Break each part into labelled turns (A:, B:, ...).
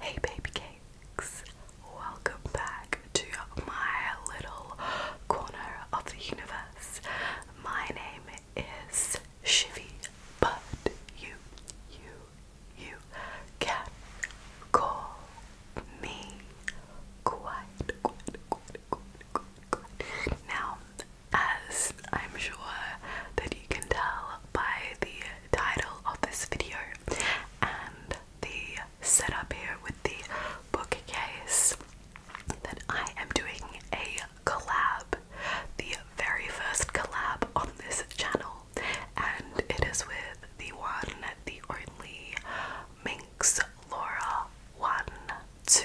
A: Hey baby cakes, welcome back to my little corner of the universe. My name is Shivy, but you, you, you can call me quite, quite, Now, as I'm sure that you can tell by the title of this video and the setup here with the bookcase, that I am doing a collab, the very first collab on this channel and it is with the one, the only Minx Laura. One, two,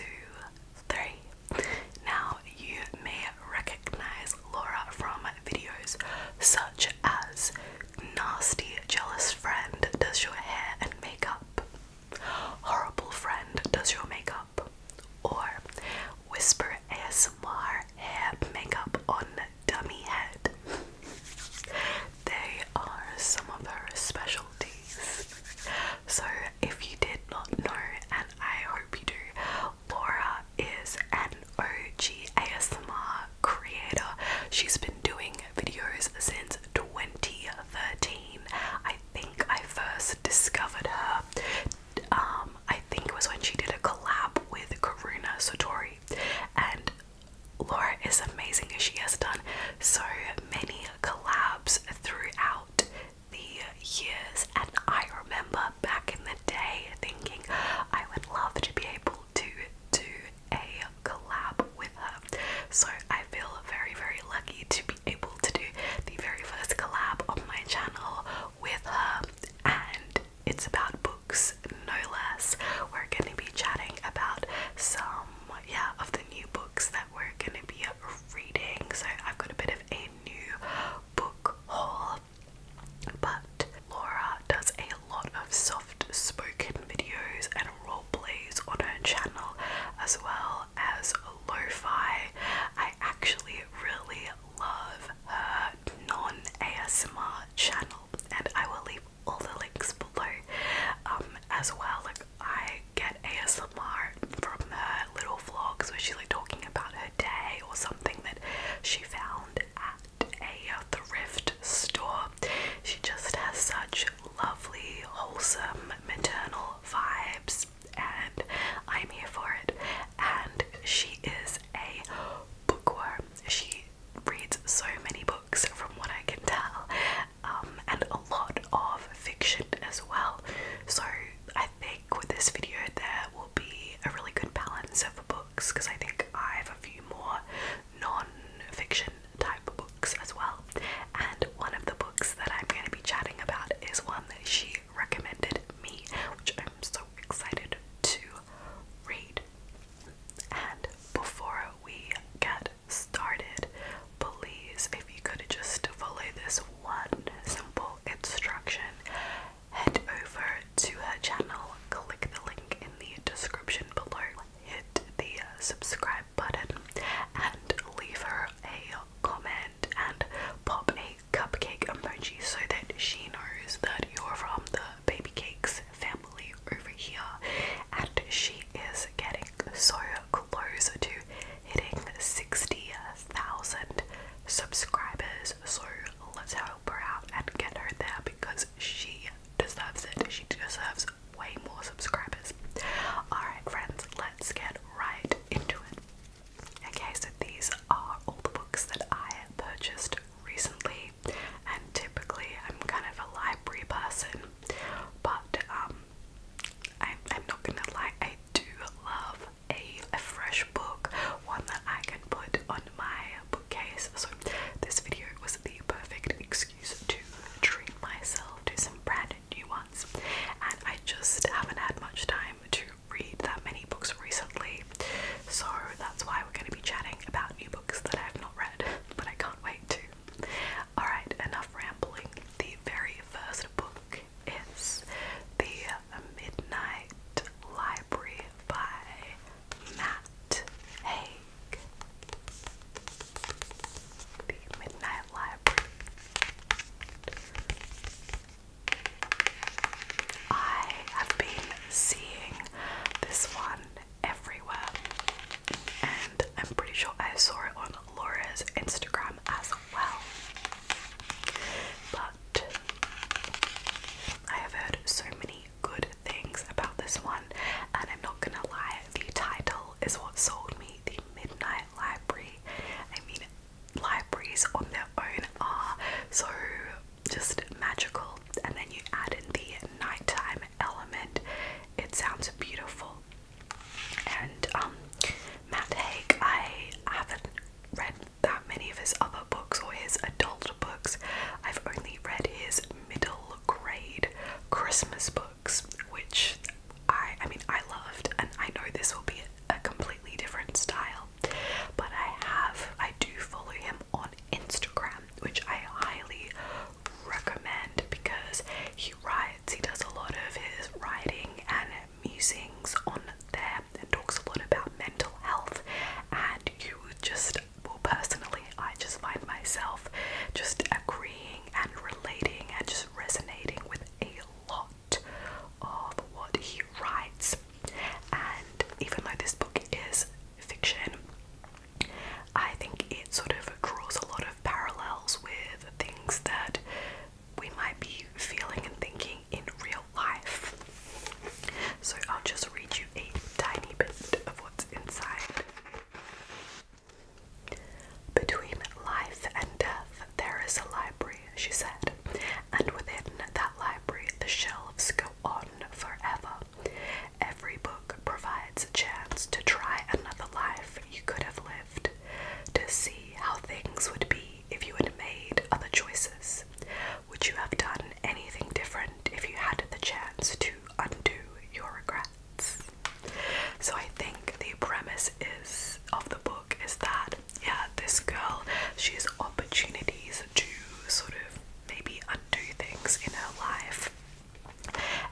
A: three. Now, you may recognize Laura from videos such as Nasty Jealous Friend Does Your Hair and Makeup, Horrible Friend Does Your Makeup, or Whisper ASMR Hair Makeup on dummy head. they are some of her specialties. So, if you did not know, and I hope you do, Laura is an OG ASMR creator. She's been doing videos since 2013. I think I first discovered her. Um, I think it was when she did a collab with Karuna Satori, and Laura is amazing. as She has done so many collabs throughout the years, and I remember back in the day thinking I would love to be able to do a collab with her. So I feel very, very lucky to be able to do the very first collab on my channel with her, and it's about books, no less. We're going to be chatting about some, yeah, of the new books that we're going to be reading. So I've got a bit of a new book haul, but Laura does a lot of soft spoken videos and role plays on her channel, as well as lo I actually really love her non ASMR channel, and I will leave all the links below um, as well. Like I get ASMR from her little vlogs where she's like talking about her day or something that she found at a thrift store. She just has such lovely, wholesome, maternal vibes, and I'm here for it. And she is a bookworm. She reads so many books from what I can tell, um, and a lot of fiction as well. So I think with this video, there will be a really good balance of books because I think I have a few more non fiction type books as well. And one of the books that I'm going to be chatting about is one that she recommended me, which I'm so excited to read. And before we get started, please, if you could just follow this one simple instruction, head over to her channel, click the link in the description below, hit the subscribe button, and leave her a comment and pop a cupcake emoji so that she knows that you're from the Baby Cakes family over here, and she is getting so close to hitting 60,000 subscribers. So let's help her out and get her there because she deserves it. She deserves way more subscribers. Alright, friends, let's get right into it. Okay, so these are all the books that I purchased recently and typically I'm kind of a library person, but um, I, am not gonna lie, I do love a, a fresh book, one that I can put on my bookcase. So this video was the perfect excuse to treat myself to some brand new ones, and I just haven't had much time to read that many books recently. So that's why we're going to be chatting about new books that I have not read, but I can't wait to. Alright, enough rambling. The very first book is The Midnight Library by Matt Haig. The Midnight Library. I have been seeing this one everywhere, and I'm pretty sure I saw it on Laura's Instagram as well. But I have heard so many good things about this one, and I'm not gonna lie, the title is what sold me the Midnight Library. I mean, libraries on their own are so just magical. And then you add in the nighttime element, it sounds beautiful. And um, Matt Haig, I haven't read that many of his other books or his adult books. I've only read his middle grade Christmas books, which I I mean I loved and I know this will be a completely different style but I have, I do follow him on Instagram, which I highly recommend because he writes, he does a lot of his writing and musings on there and talks a lot about mental health and you just well personally I just find myself just agreeing and relating and just resonating with a lot of what he writes and even though this book is fiction, I think it sort of draws a lot of parallels with things that we might be feeling and thinking in real life. So I'll just read you a tiny bit of what's inside. Between life and death, there is a library, she said, and within that library, the shelves go on forever. Every book provides a chance to try another life you could have lived, to see how things would be if you had made other choices. Would you have done anything different if you had the chance to undo your regrets? So I think the premise is of the book is that yeah, this girl she has opportunities to sort of maybe undo things in her life.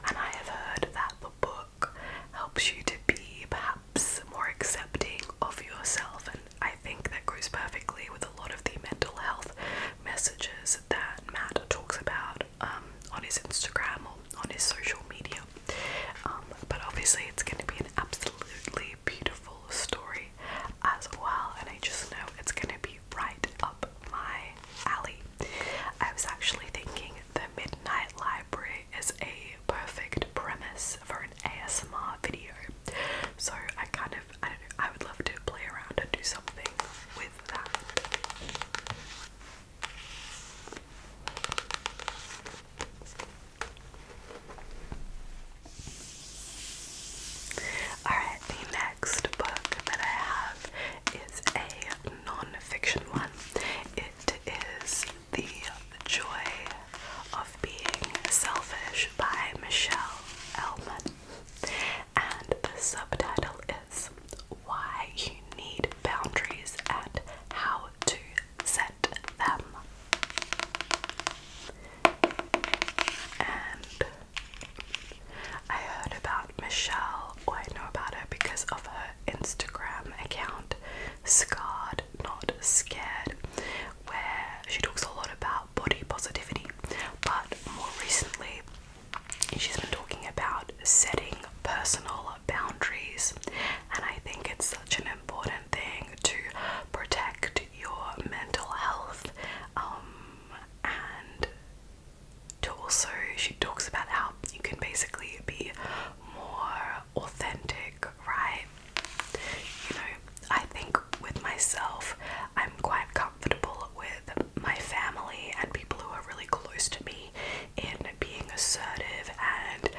A: And I have heard that the book helps you to be perhaps more accepting of yourself, and I think that goes perfectly with a lot of the mental health messages that Matt talks about um, on his Instagram or on his social media. Um, but obviously, it's going to be an absolutely beautiful story as well, and I just know it's gonna be right up my alley. I was actually thinking the Midnight Library is a perfect premise for an ASMR video, so I kind of I don't know I would love to play around and do something with that. Alright, the next book that I have is a non-fiction one. It is The Joy of Being Selfish by Michelle Elman, And the subtitle is Why You Need Boundaries and How to Set Them. And I heard about Michelle, oh, I know about her because of her Instagram account, Scarred Not Scared, where she talks a lot about body positivity. But more recently, she's been talking about setting personal boundaries, and I think it's such an important thing to protect your mental health um, and to also, she talks about how you can basically be more authentic, right? You know, I think with myself, I'm quite comfortable with my family and people who are really close to me in being assertive and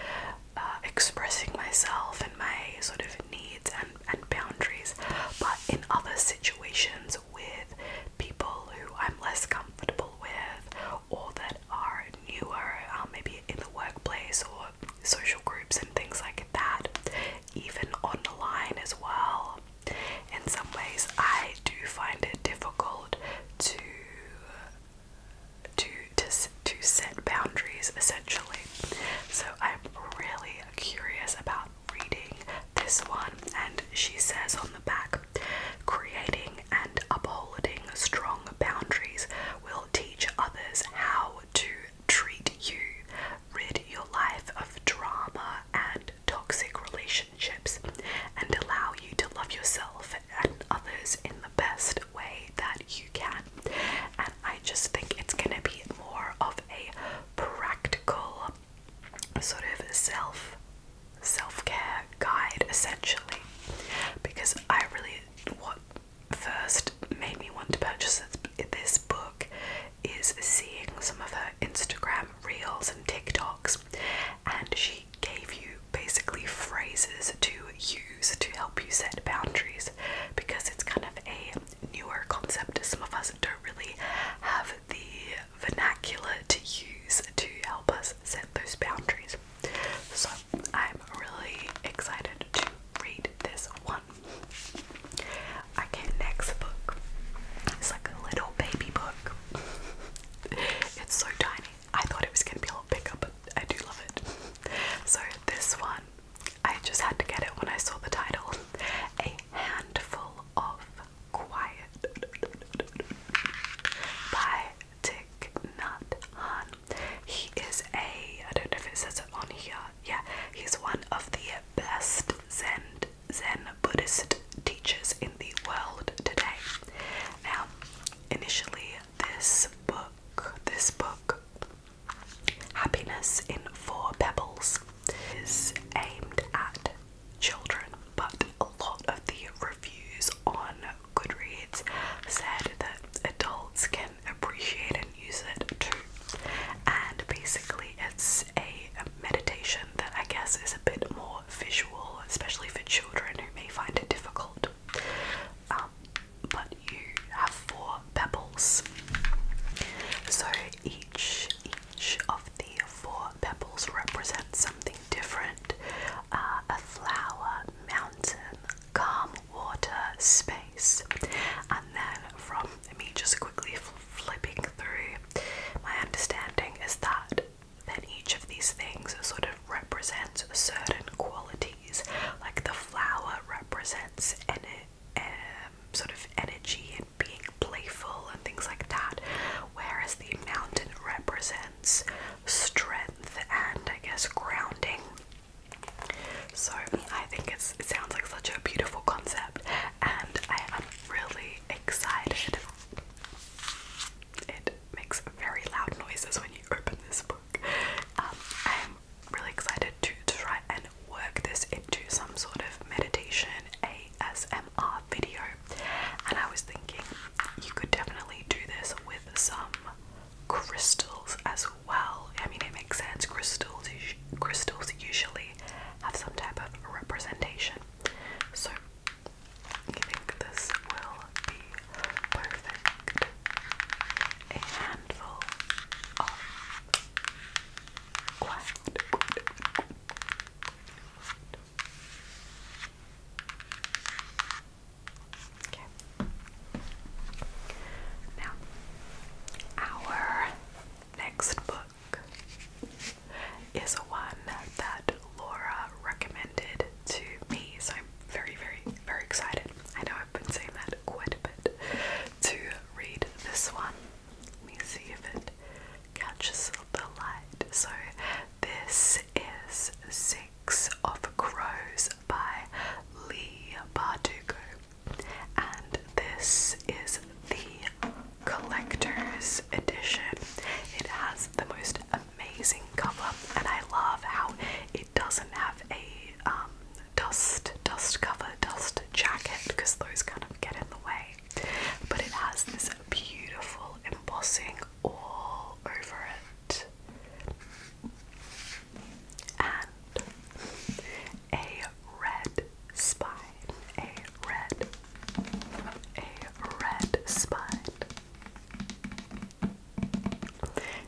A: uh, expressing myself and my sort of needs and, and boundaries, but in other situations with people who I'm less comfortable with or that are newer, um, maybe in the workplace or social groups and things like that, even on the line as well. In some ways, I do find it difficult to to to to set boundaries essentially. So I'm really curious about reading this one, and she says on the back creating and upholding strong boundaries will teach others how to treat you, rid your life of drama and toxic relationships, and allow you to love yourself and others in the best way that you can. And I just think it's going to be more of a practical sort of self self-care guide essentially because I really what first made me want to purchase this book is seeing some of her Instagram reels and TikToks and she gave you basically phrases to use to help you set boundaries because it's kind of a newer concept. Some of us don't really have the vernacular to use to help us set those boundaries. So I'm really excited to read this one. Okay, next book. It's like a little baby book. it's so tiny. I thought it was gonna be a little bigger, but I do love it. So this one I just had to get it when I saw the title. A Handful of Quiet by Dick Nut Han. He is a, I don't know if it says it on here, yeah, he's one of the best Zen, Zen Buddhist teachers in the world today. Now, initially, this book, this book Happiness in Four Pebbles is aimed at children, but a lot of the reviews on Goodreads said that adults can appreciate and use it too. And basically, it's a meditation that I guess is a bit more visual, especially for children who may find it difficult. Um, but you have four pebbles. So each each of the four pebbles represents something different: uh, a flower, mountain, calm water, space, and then from me just quickly flipping through, my understanding is that then each of these things sort of represents certain qualities. Like the flower represents energy um, sort of energy and being playful and things like that, whereas the mountain represents strength and I guess grounding. So I think it sounds like such a beautiful concept, and I am really excited. It makes very loud noises when you open this book. Um, I'm really excited to try and work this into some sort of meditation ASMR video. And I was thinking you could definitely do this with some crystals as well. I mean, it makes sense. Crystals, crystals usually have some type of representation. So I think this will be perfect. Now, our next book is one that Laura recommended to me, so I'm very, very, very excited. I know I've been saying that quite a bit to read this one. Let me see if it catches the light. So, this is Six of Crows by Lee Bardugo, and this is the collector's edition. It has the most amazing cover, and I love how it it doesn't have a um, dust dust cover, dust jacket because those kind of get in the way. But it has this beautiful embossing all over it. And a red spine. A red a red spine.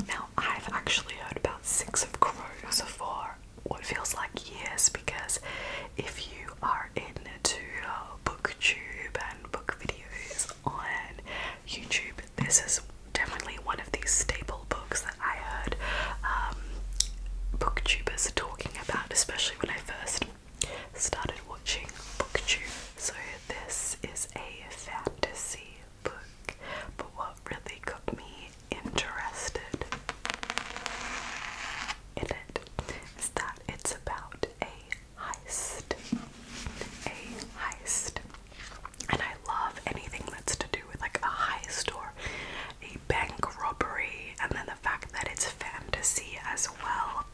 A: Now I've actually heard about Six of Crows before what feels like years because if you are into uh, booktube and book videos on YouTube, this is definitely one of these staple books that I heard um, booktubers talking about, especially when I first started watching booktube. So this is a fantasy book, but what really got me interested in it is that it's about a heist. A heist. And I love anything that's to do with like a heist or a bank robbery, and then the fact that it's fantasy as well.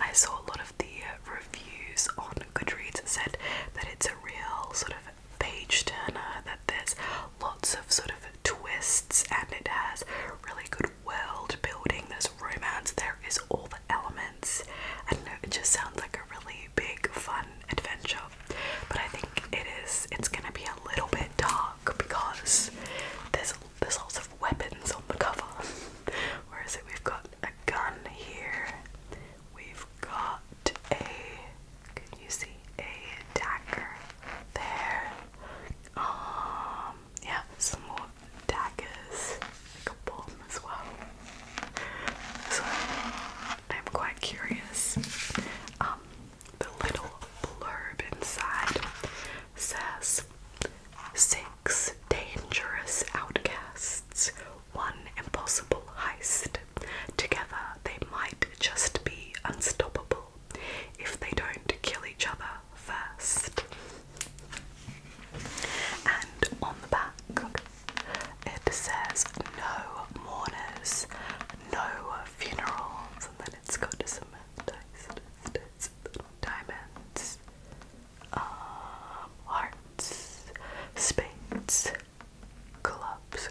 A: I saw a lot of the reviews on Goodreads said that it's a real sort of page turner, that there's lots of sort of twists and it has really good world building. There's romance, there is all the elements. I don't know, it just sounds like a really big, fun adventure. But I think it is it's gonna be a little bit dark because there's there's lots of weapons on the cover. Where is it? We've got a gun here. We've got a, can you see, a dagger there. Um, yeah, some more daggers, like a bomb as well. So, I'm quite curious. Um, the little blurb inside says, Six dangerous outcasts one impossible heist. Together, they might just be unstoppable if they don't kill each other first. And on the back, it says no mourners, no funerals, and then it's got some diamonds, um, hearts, spades, gloves.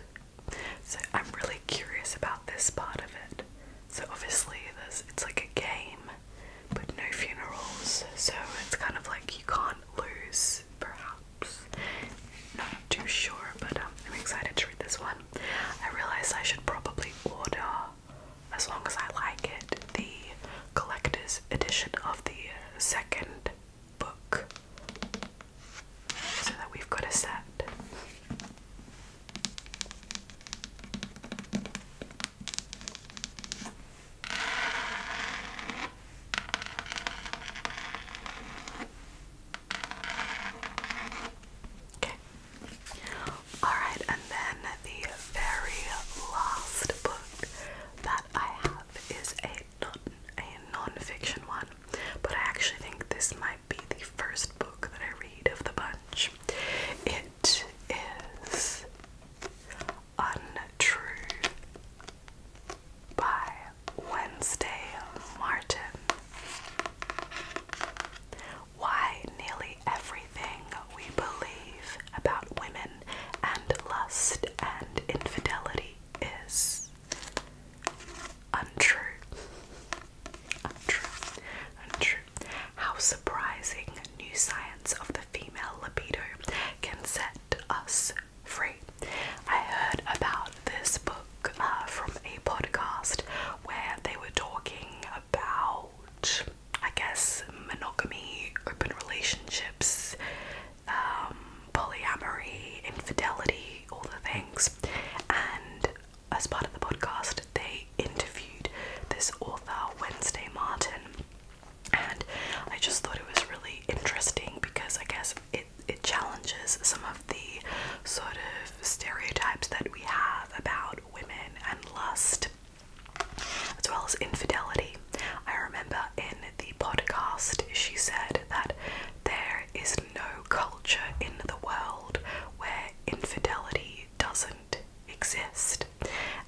A: So I'm really curious about this part of it. So obviously there's it's like a game, but no funerals. So it's kind of like you can't lose, perhaps. Not too sure, but um, I'm excited to read this one. I realized I should probably order, as long as I like it, the collector's edition of the uh, second book so that we've got a set. Okay. Alright, and then the very last book that I have is a a non-fiction one but I actually think this might be the first book that I read of the bunch. It is Untrue by Wednesday Martin. Why nearly everything we believe about women and lust and infidelity is Untrue. Untrue. Untrue. How surprising new science of the female libido can set us free. I heard about this book uh, from a podcast where they were talking about, I guess, monogamy, open relationships, um, polyamory, infidelity, all the things. And as part of the podcast, they interviewed this author, Wednesday Martin. And I just thought it was really interesting because I guess it, it challenges some of the sort of stereotypes that we have about women and lust, as well as infidelity. I remember in the podcast, she said that there is no culture in the world where infidelity doesn't exist.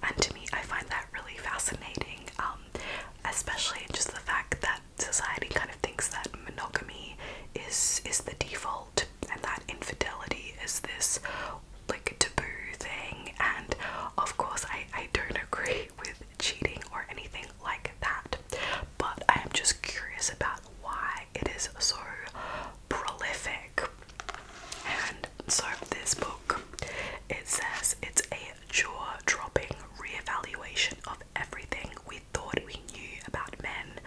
A: And to me, I find that really fascinating, um, especially just the fact that society kind of thinks that monogamy is is the default and that infidelity is this like taboo thing and of course I, I don't agree with cheating or anything like that. But I am just curious about why it is so prolific. And so this book it says it's a jaw-dropping re-evaluation of everything we thought we knew about men,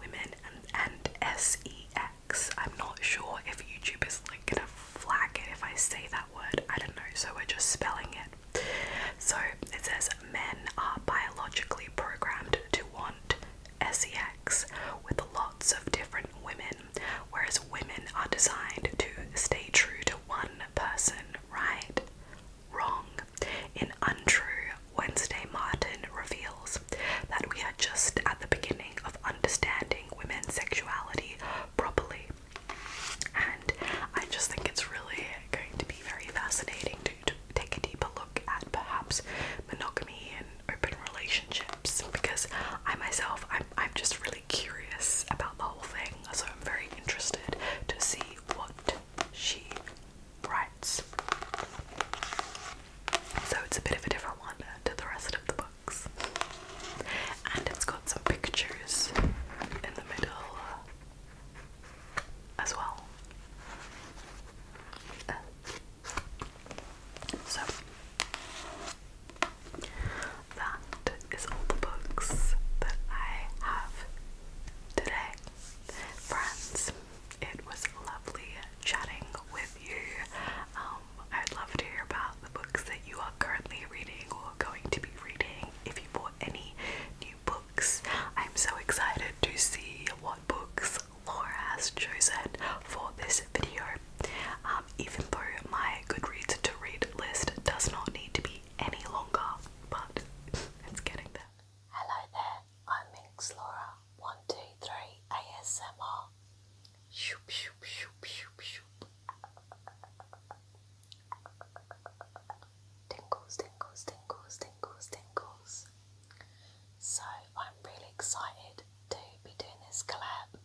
A: women, and, and sex. I'm not sure if YouTube is like gonna flag it if I say that word. I don't know. So we're just spelling it so it says men are biologically programmed to want sex with lots of different women, whereas women are designed to stay true to one person, right? Wrong. In Untrue, Wednesday Martin reveals that we are just at the beginning of understanding women's sexuality properly and I just think it's really going to be very fascinating to, take a deeper look at perhaps monogamy and open relationships because I myself I'm I'm just really curious about the whole thing, so I'm very interested to see what she writes. So it's a bit of a different one to the rest of the books. And it's got some pictures in the middle as well. so that is all the books that I have today. Friends, it was lovely chatting with you. Um, I'd love to hear about the books that you are currently reading or going to be reading. If you bought any new books. I'm so excited to see what books Laura has chosen for this video. Um, even though my Goodreads to read list does not need to be any longer, but it's getting there. Hello there, I'm Minx Laura.
B: One, two, three, ASMR. Shoop, shoop, Tingles, tingles, tingles, tingles, tingles. So I'm really excited to be doing this collab.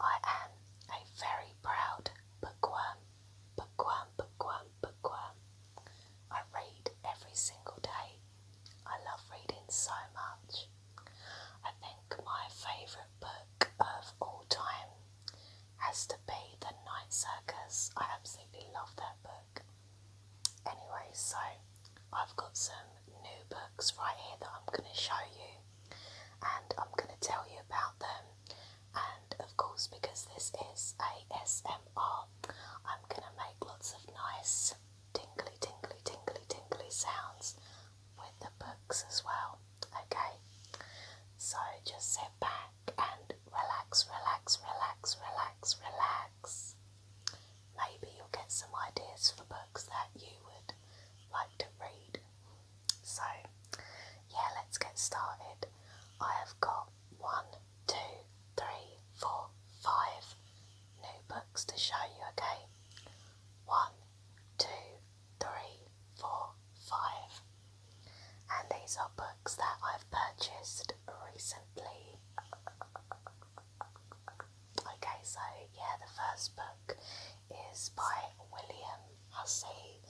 B: I am a very proud bookworm, bookworm, bookworm, bookworm. I read every single day. I love reading so much. I think my favourite book of all time has to be The Night Circus. I absolutely love that book. Anyway, so I've got some new books right here that I'm going to show you and I'm going to tell you about them. And of course, because this is ASMR, I'm going to make lots of nice tingly, tingly, tingly, tingly sounds with the books as well. Okay, so just sit back and relax, relax, relax, relax, relax. Maybe you'll get some ideas for books that you would like to read. So, yeah, let's get started. I have got one, two, three, four, five new books to show you, okay? One, two, three, four, five. And these are books that I've purchased recently. Okay, so yeah, the first book is by William Hussey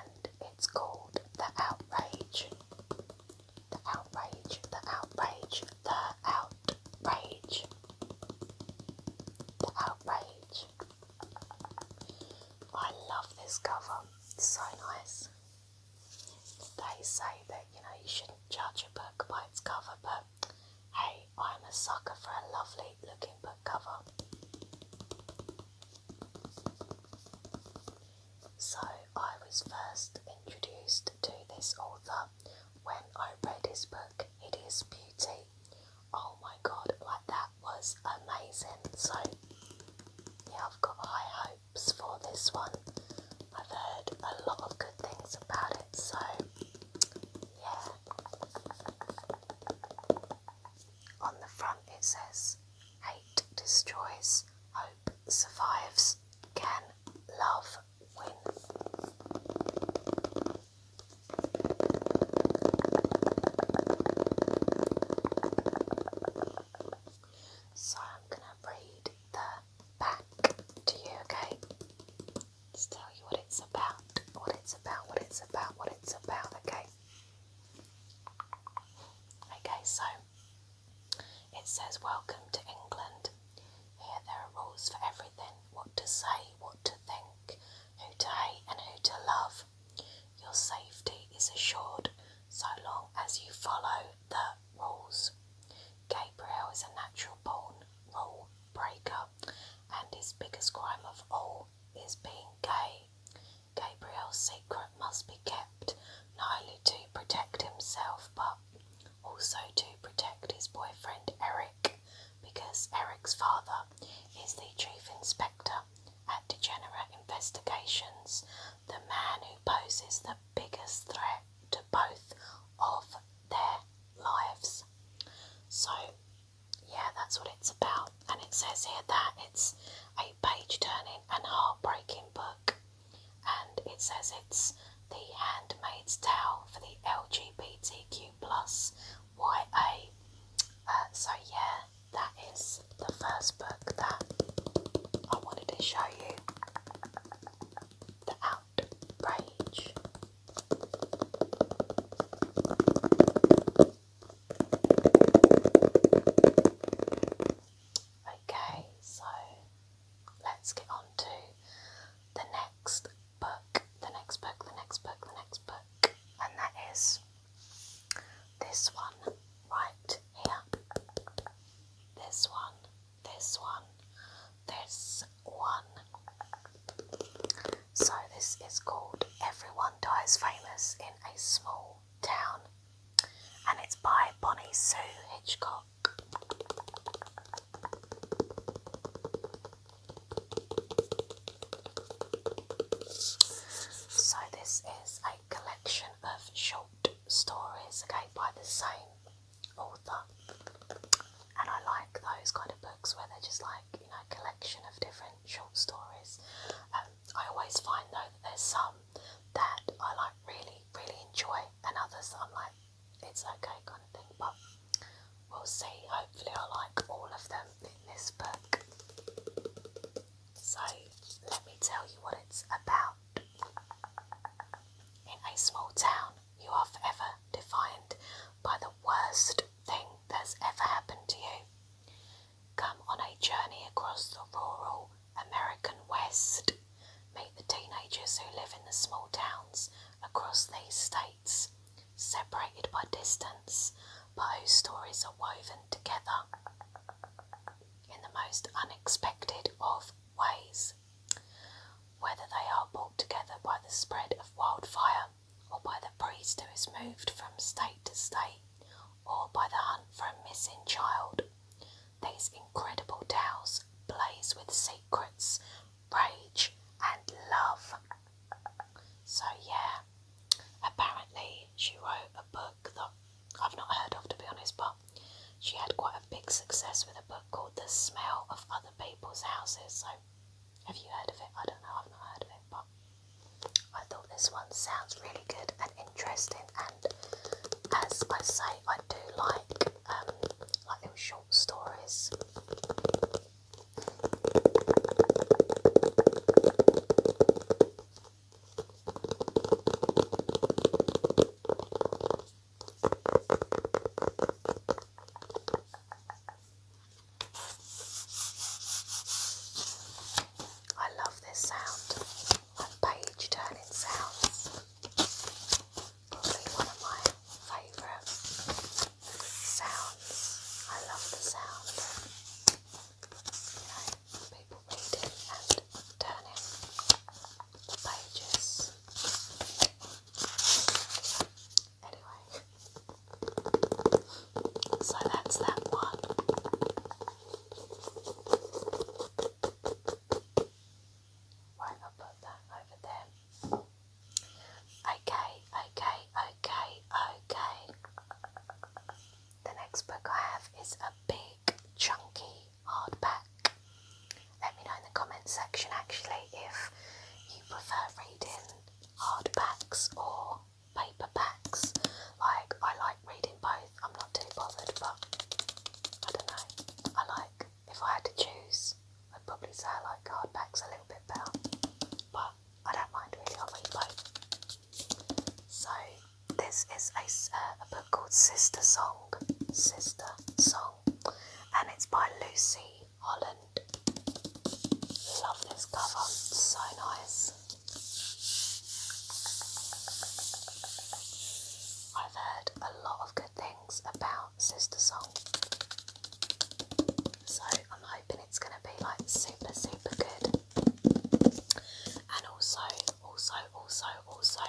B: and it's called The Outrage. The Outrage, The Outrage, The Outrage. The Outrage. I love this cover, it's so nice. They say that you know you shouldn't judge a book by its cover, but hey, I'm a sucker for a lovely looking book cover. So I was first introduced to this author when I read his book It is Beauty Oh my god, like that was amazing. So, yeah, I've got high hopes for this one. I've heard a lot of good things about it, so yeah. On the front it says, Hate destroys, hope survives, can love win? So I'm going to read the back to you, okay? Just tell you what it's about, what it's about, what it's about, what it's about, okay? Okay, so it says, Welcome to England. Here there are rules for everything what to say, what to think, who to hate, and who to love. Your safety is assured so long as you follow the rules. Gabriel is a natural born rule breaker, and his biggest crime of all is being gay. Gabriel's secret must be kept not only to protect himself but also to protect his boyfriend Eric because Eric's father is the chief inspector at Degenerate Investigations, the man who poses the biggest threat to both of their lives. So, yeah, that's what it's about. And it says here that it's a page turning and heartbreaking book. And it says it's The Handmaid's Tale for the LGBTQ plus YA. Uh, so, yeah, that is the first book that I wanted to show you The Outrage. Okay, so let's get on to the next book, the next book, the next book, the next book, and that is this one right here. This one, this one, this one. So, this is called Everyone Dies Famous in a Small Town, and it's by Bonnie Sue Hitchcock. So this is a collection of short stories, okay, by the same author. And I like those kind of books where they're just like, you know, a collection of different short stories. Um, I always find though that there's some that I like really, really enjoy and others I'm like, it's okay kind of thing, but we'll see. Hopefully I like all of them this book. So, let me tell you what it's about. In a small town, you are forever defined by the worst thing that's ever happened to you. Come on a journey across the rural American West. Meet the teenagers who live in the small towns across these states separated by distance, but whose stories are woven together in the most unexpected of ways, whether they are brought together by the spread of wildfire, or by the priest who is moved from state to state, or by the hunt for a missing child. These incredible tales blaze with secrets, rage, and love. So yeah, apparently she wrote a book that I've not heard of to be honest, but she had quite a big success with a book called The Smell of Other People's Houses. So have you heard of it? I don't know, I've not heard of it, but I thought this one sounds really good and interesting and as I say I do like um, like little short stories I love this sound of page turning sounds. Probably one of my favourite sounds. I love the sound you know, people reading and turning the pages. Anyway, so that's that one. Right, I'll put that over there. Okay, okay, okay, okay. The next book I have is a big, chunky hardback. Let me know in the comments section actually if you prefer reading hardbacks or paperbacks. Like, I like reading both, I'm not too bothered, but I don't know. I like, if I had to choose, I'd probably say I like hardbacks a little bit better. But I don't mind really, I'll read both. So, this is a, uh, a book called Sister Song, Sister Song, and it's by Lucy Holland. Love this cover, so nice. I've heard a lot of good things about Sister Song so I'm hoping it's going to be like super super good. And also, also, also, also,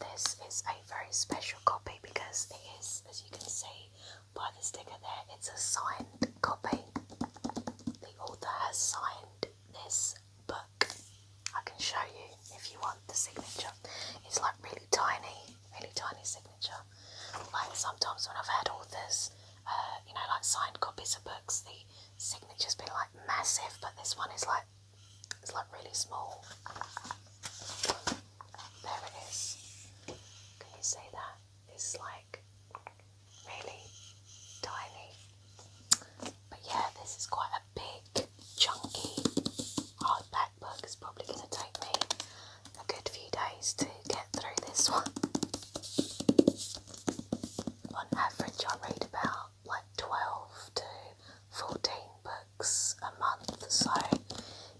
B: this is a very special copy because it is, as you can see by the sticker there, it's a signed copy. The author has signed this book. I can show you if you want the signature. It's like really tiny, really tiny signature. Like sometimes when I've had authors, uh, you know, like signed copies of books, the signature's been like massive, but this one is like it's like really small. There it is. Can you see that? It's like really tiny. But yeah, this is quite a big, chunky hardback book. It's probably going to take me a good few days to get through this one. On average, I read about like 12 to 14 books a month, so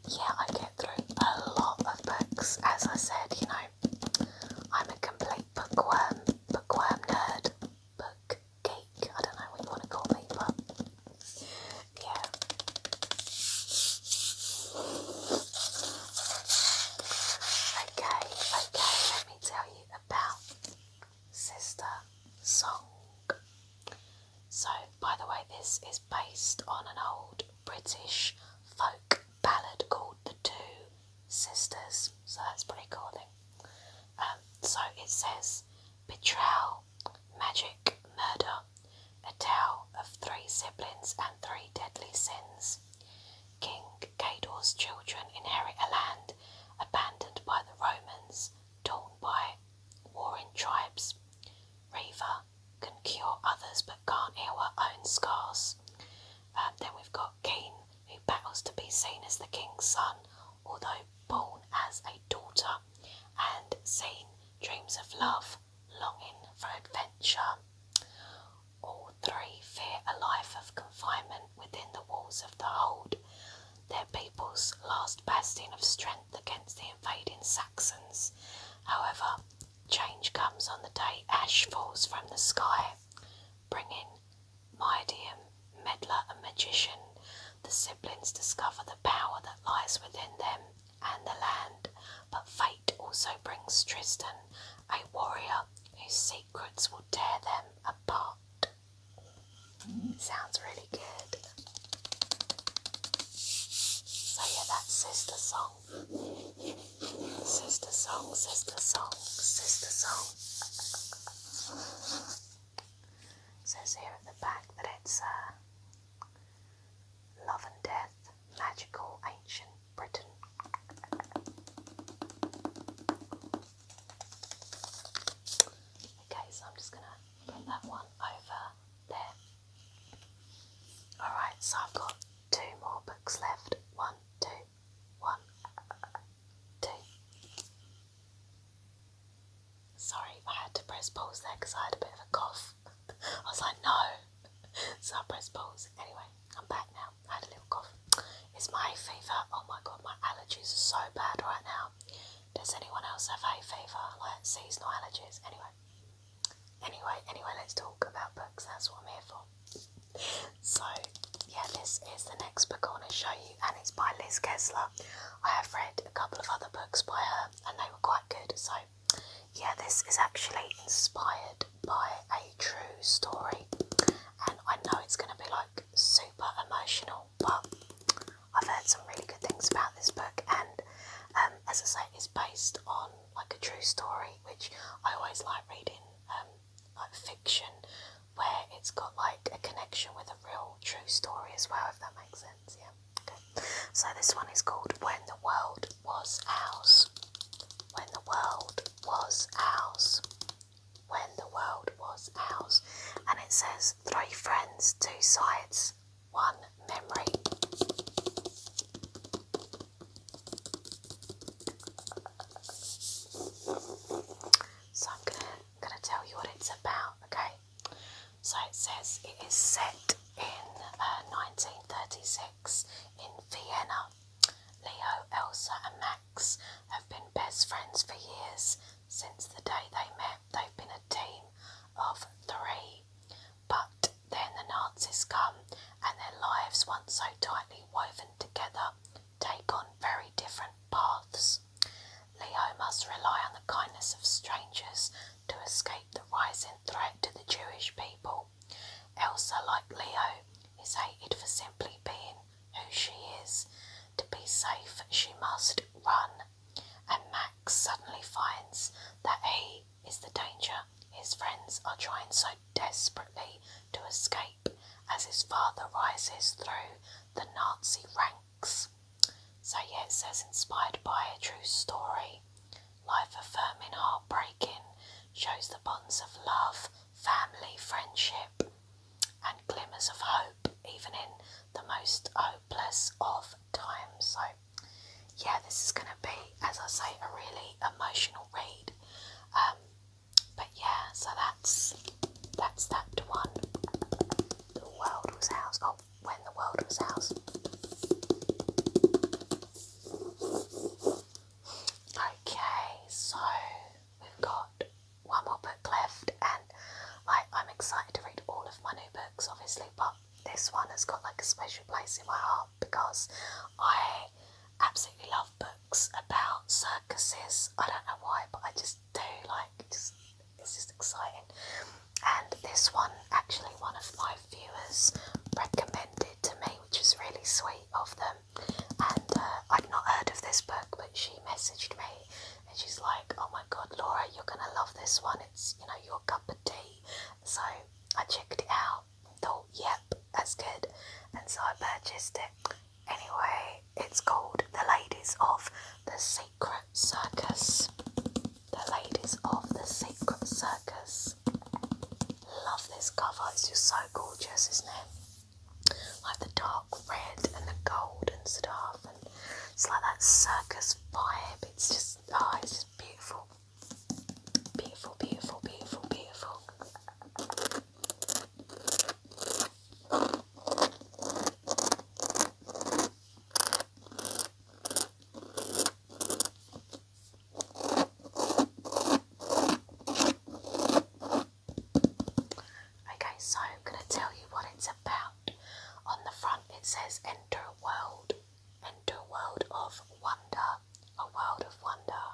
B: yeah, I get through a lot of books. As I said, you know, I'm a complete bookworm, bookworm nerd, book geek. I don't know what you want to call me, but yeah. Okay, okay, let me tell you about Sister Song. So, by the way, this is based on an old British folk ballad called The Two Sisters, so that's pretty cool, thing. Um, so it says betrayal, magic, murder, a tale of three siblings and three deadly sins. King Cador's children inherit a land abandoned by the Romans, torn by warring tribes. Reva can cure others but can't heal her own scars. Um, then we've got Keen, who battles to be seen as the king's son, although born as a daughter, and Zane dreams of love longing for adventure. All three fear a life of confinement within the walls of the hold, their people's last bastion of strength against the invading Saxons. However, change comes on the day ash falls from the sky, bringing Midian, meddler and magician. The siblings discover the power that lies within them and the land, but fate also brings Tristan a warrior whose secrets will tear them apart. Sounds really good. So, yeah, that's Sister Song. Sister Song, Sister Song, Sister Song. says here at the back that it's uh, love and death magical ancient Britain. Okay, so I'm just going to put that one over there. Alright, so I've got two more books left. One, two, one, two. Sorry, I had to press pause there because I had a bit of a cough. I was like, no. So I pressed pause. Anyway, I'm back now. I had a little cough. It's my fever. Oh my god, my allergies are so bad right now. Does anyone else have hay fever? Like seasonal allergies? Anyway. Anyway, anyway, let's talk about books. That's what I'm here for. So, yeah, this is the next book I want to show you, and it's by Liz Kessler. I have read a couple of other books by her, and they were quite good, so yeah, this is actually inspired by a true story, and I know it's going to be like super emotional, but I've heard some really good things about this book, and um, as I say, it's based on like a true story, which I always like reading, um, like fiction, where it's got like a connection with a real true story as well, if that makes sense. Yeah, so this one is called When the World Was Ours. When the World Was Ours. When the World Was Ours. And it says three friends, two sides, one memory. So I'm gonna gonna tell you what it's about, okay? So it says it is set in 1936 uh, in Vienna. Leo, Elsa, and Max have been best friends for years. Since the day they met, they've been a team of three. But then the Nazis come, and their lives, once so tightly woven together, take on very different paths. Leo must rely on the kindness of strangers to escape the rising threat to the Jewish people. Elsa, like Leo, is hated for simply being who she is. To be safe, she must run, and Max suddenly finds that he is the danger his friends are trying so desperately to escape as his father rises through the Nazi ranks. So, yeah, it says inspired by a true story life affirming, heart breaking, shows the bonds of love, family, friendship, and glimmers of hope, even in the most hopeless of times. So, yeah, this is going to be, as I say, a really emotional read. Um, but yeah, so that's that's that one. The world was housed. Oh, when the world was ours. Okay, so we've got one more book left, and like I'm excited to read all of my new books, obviously, but this one has got like a special place in my heart because I absolutely love books about circuses. I don't know why, but I just do like just it's exciting and this one actually one of my viewers recommended to me, which is really sweet of them. And uh, I'd not heard of this book, but she messaged me and she's like, "Oh my God, Laura, you're gonna love this one. It's you know your cup of tea." So I checked it out, thought, "Yep, that's good," and so I purchased it. Anyway, it's called The Ladies of the Secret Circus. The Ladies of the Secret Circus. Love this cover, it's just so gorgeous, isn't it? Like the dark red and the gold and stuff, and it's like that circus vibe. It's just, oh, it's just beautiful. Beautiful, beautiful, beautiful, beautiful. Okay, so I'm going to tell you what it's about. On the front it says enter a world, enter a world of wonder, a world of wonder.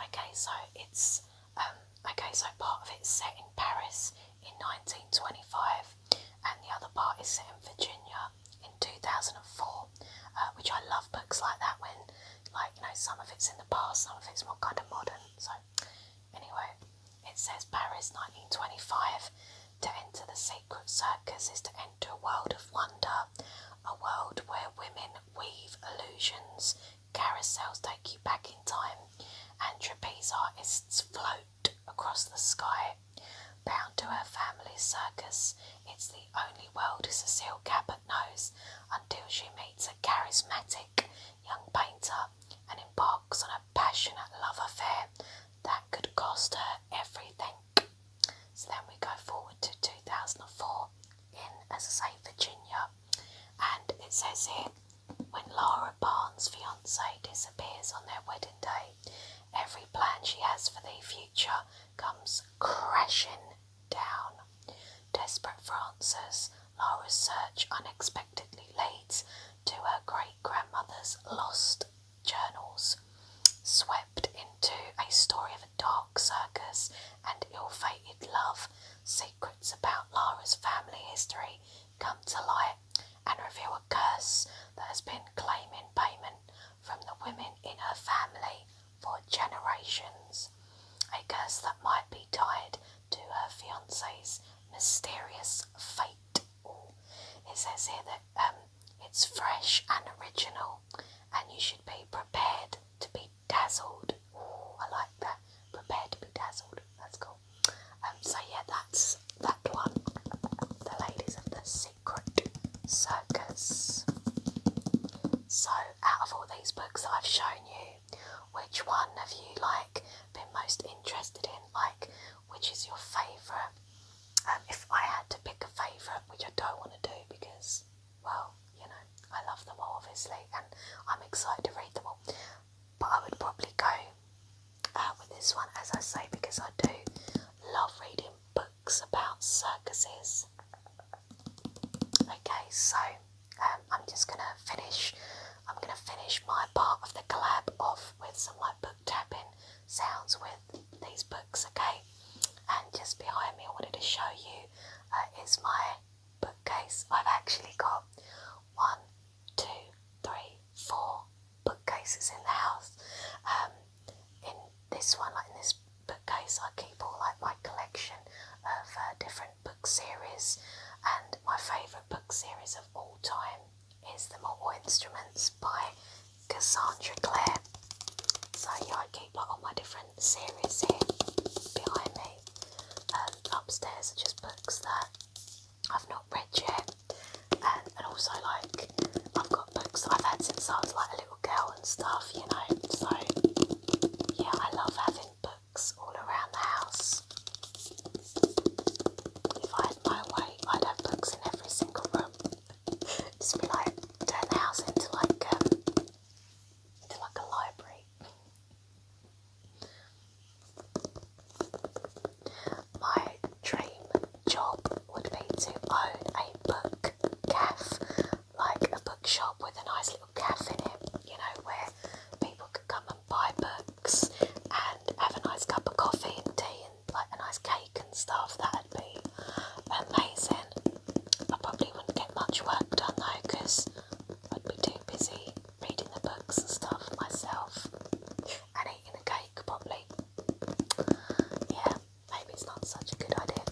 B: Okay, so it's um okay, so part of it's set in Paris in 1925 and the other part is set in Virginia in 2004, uh, which I love books like that when, like, you know, some of it's in the past, some of it's more kind of modern. So, anyway, it says Paris 1925 to enter the sacred circus is to enter a world of wonder, a world where women weave illusions, carousels take you back in time, and trapeze artists float across the sky. Bound to her family's circus, it's the only world Cecile Cabot knows until she meets a charismatic young painter and embarks on a passionate love affair that could cost her everything. So then we go forward to 2004 in, as I say, Virginia, and it says here when Laura Barnes' fiance disappears on their wedding day, Every plan she has for the future comes crashing down. Desperate Frances, answers, Laura's search unexpectedly leads to her great grandmother's lost journals. Swept into a story of a dark circus and ill fated love, secrets about Lara's family history come to light and reveal a curse that has been claiming payment from the women in her family for generations. A curse that might be tied to her fiance's mysterious fate. It
A: says here that um, it's fresh and original, and you should be prepared
B: to be dazzled. Ooh, I like that. Prepared to be dazzled. That's cool. Um, so yeah, that's that one. The ladies of the sea. Circus. So, out of all these books I've shown you, which one have you like been most interested in? Like, which is your favourite? Um, if I had to pick a favourite, which I don't want to do because, well, you know, I love them all obviously, and I'm excited to read them all. But I would probably go uh, with this one, as I say, because I do love reading books about circuses. Okay, so um, I'm just gonna finish. I'm gonna finish my part of the collab off with some like book tapping sounds with these books. Okay, and just behind me, I wanted to show you uh, is my bookcase. I've actually got one, two, three, four, bookcases in the house. Um, in this one, like in this bookcase, I keep all like my collection of uh, different book series, and my favourite book series of all time is The Mortal Instruments by Cassandra Clare. So yeah, I keep like all my different series here behind me. Um, upstairs are just books that I've not read yet, um, and, also like I've got books that I've had since I was like a little girl and stuff, you know. So yeah, I love having books all around the house. If I had my way, I'd have books in every single room. Just be like turn the house into like um, into like a library. My dream job would be to own a book cafe, like a bookshop with a nice little cafe in it, you know, where people could come and buy books and have a nice cup of coffee and tea and like a nice cake and stuff. That'd be amazing. I probably wouldn't get much work done though because I'd be too busy reading the books and stuff myself and eating the cake probably. Yeah, maybe it's not such a good idea.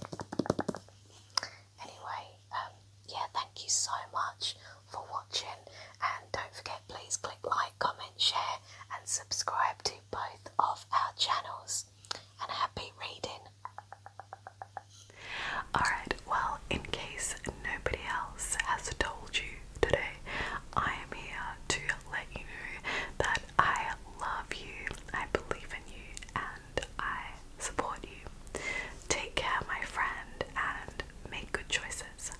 B: Anyway, um, yeah, thank you so much for watching, and don't forget, please click like, comment, share,
A: and subscribe to both of our channels. And happy reading. Alright, well, in case nobody else has told you today. I am here to let you know that I love you, I believe in you, and I support you. Take care, my friend, and make good choices.